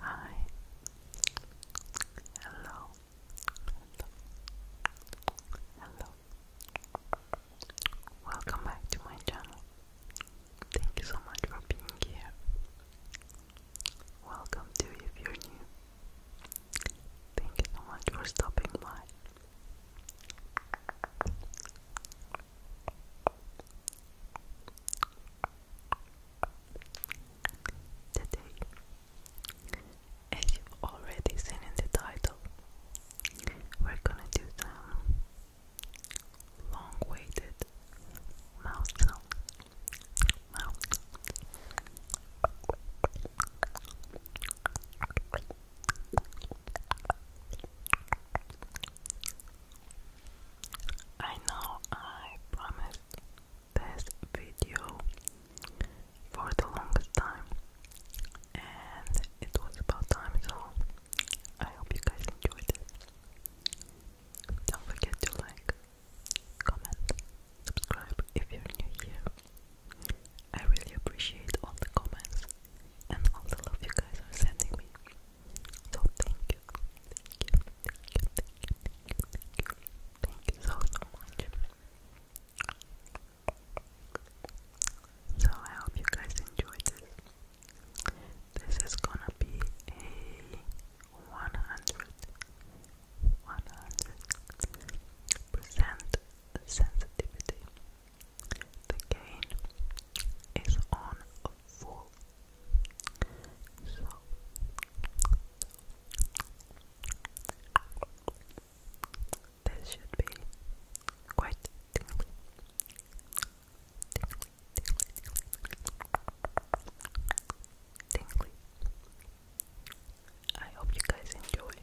Hi. Hello. Hello. Welcome back to my channel. Thank you so much for being here. Welcome to if you're new. Thank you so much for stopping by as you already seen in the title, we're gonna do some long-waited mouth sound. Mouth. I know I promised this video for the longest time and it was about time so I hope you guys enjoyed it. Don't forget to like, comment, subscribe if you're new here. I really appreciate all the comments and all the love you guys are sending me. So thank you. Thank you. Thank you. Thank you. Thank you. Thank you. so much. So I hope you guys enjoyed this. This is gonna be a 100 percent sensitivity the gain is on full. So this should be quite tingly. Tingly, tingly, tingly. Tingly. I hope you guys enjoy.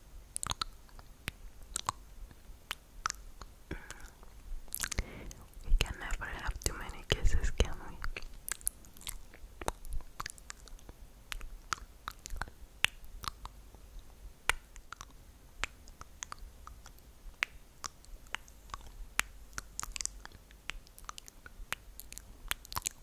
We can never have too many kisses, can we?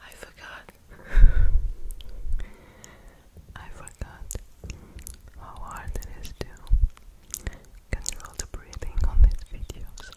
I forgot I forgot how hard it is to control the breathing on these videos.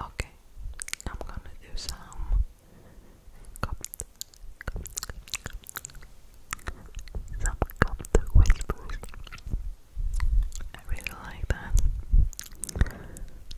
Okay, I'm gonna do some cup, some whispers. I really like that.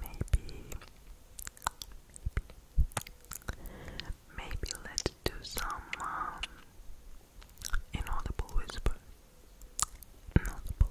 Maybe, maybe let's do some um, inaudible whisper. inaudible,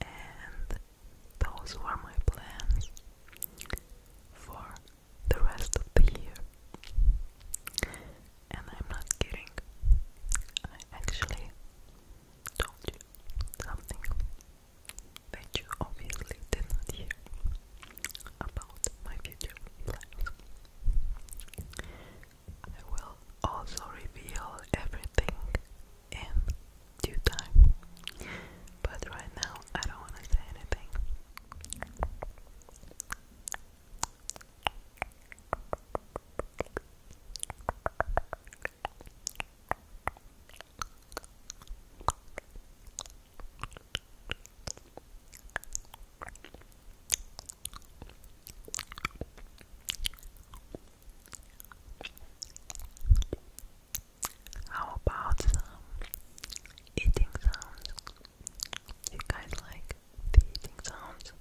And those were my plans for the rest of the year. And I'm not kidding. I actually told you something that you obviously did not hear about my future plans. I will also reveal everything in due time, but right now I don't want to say anything. How about some eating sounds? You guys like eating sounds?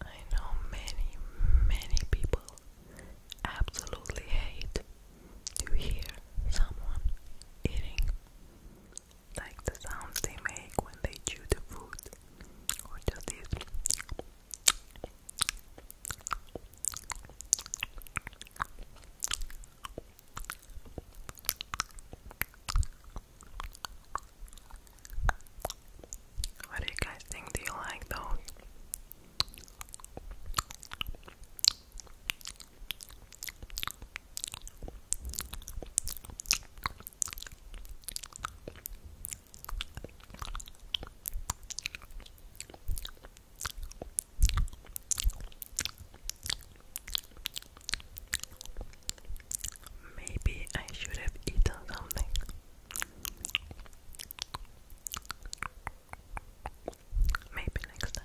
I know many, many people absolutely hate to hear someone eating, like the sounds they make when they chew the food, or just this. What do you guys think? Do you like those? Maybe I should have eaten something. Maybe next time.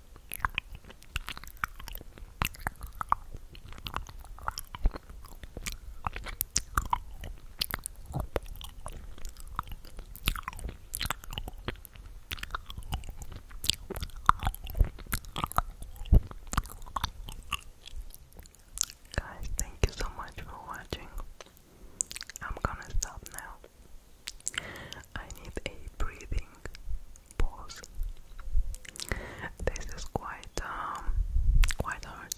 Guys, thank you so much for watching. I'm gonna stop now. I need a breathing pause. This is quite um, quite hard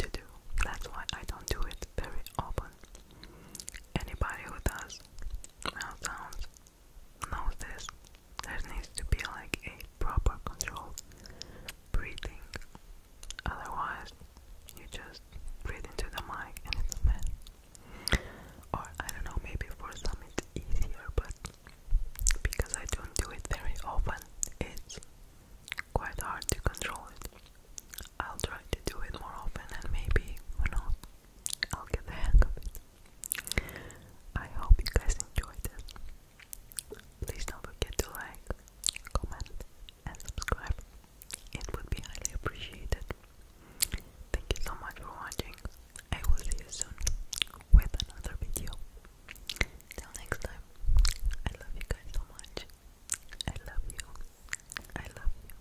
to do. That's why I don't do it very often. Anybody who does mouth sounds knows this. There needs to be like a proper control breathing. Otherwise, you just breathe into the mic and it's a or I don't know, maybe for some it's easier, but because I don't do it very often, it's quite hard to control it. I'll try to do it more often and maybe, who knows, I'll get the hang of it. I hope you guys enjoyed it. Please don't forget to like, comment, and subscribe. It would be highly appreciated. Thank you so much for watching. I will see you soon with another video. Till next time, I love you guys so much. I love you. I love you.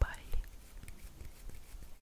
Bye.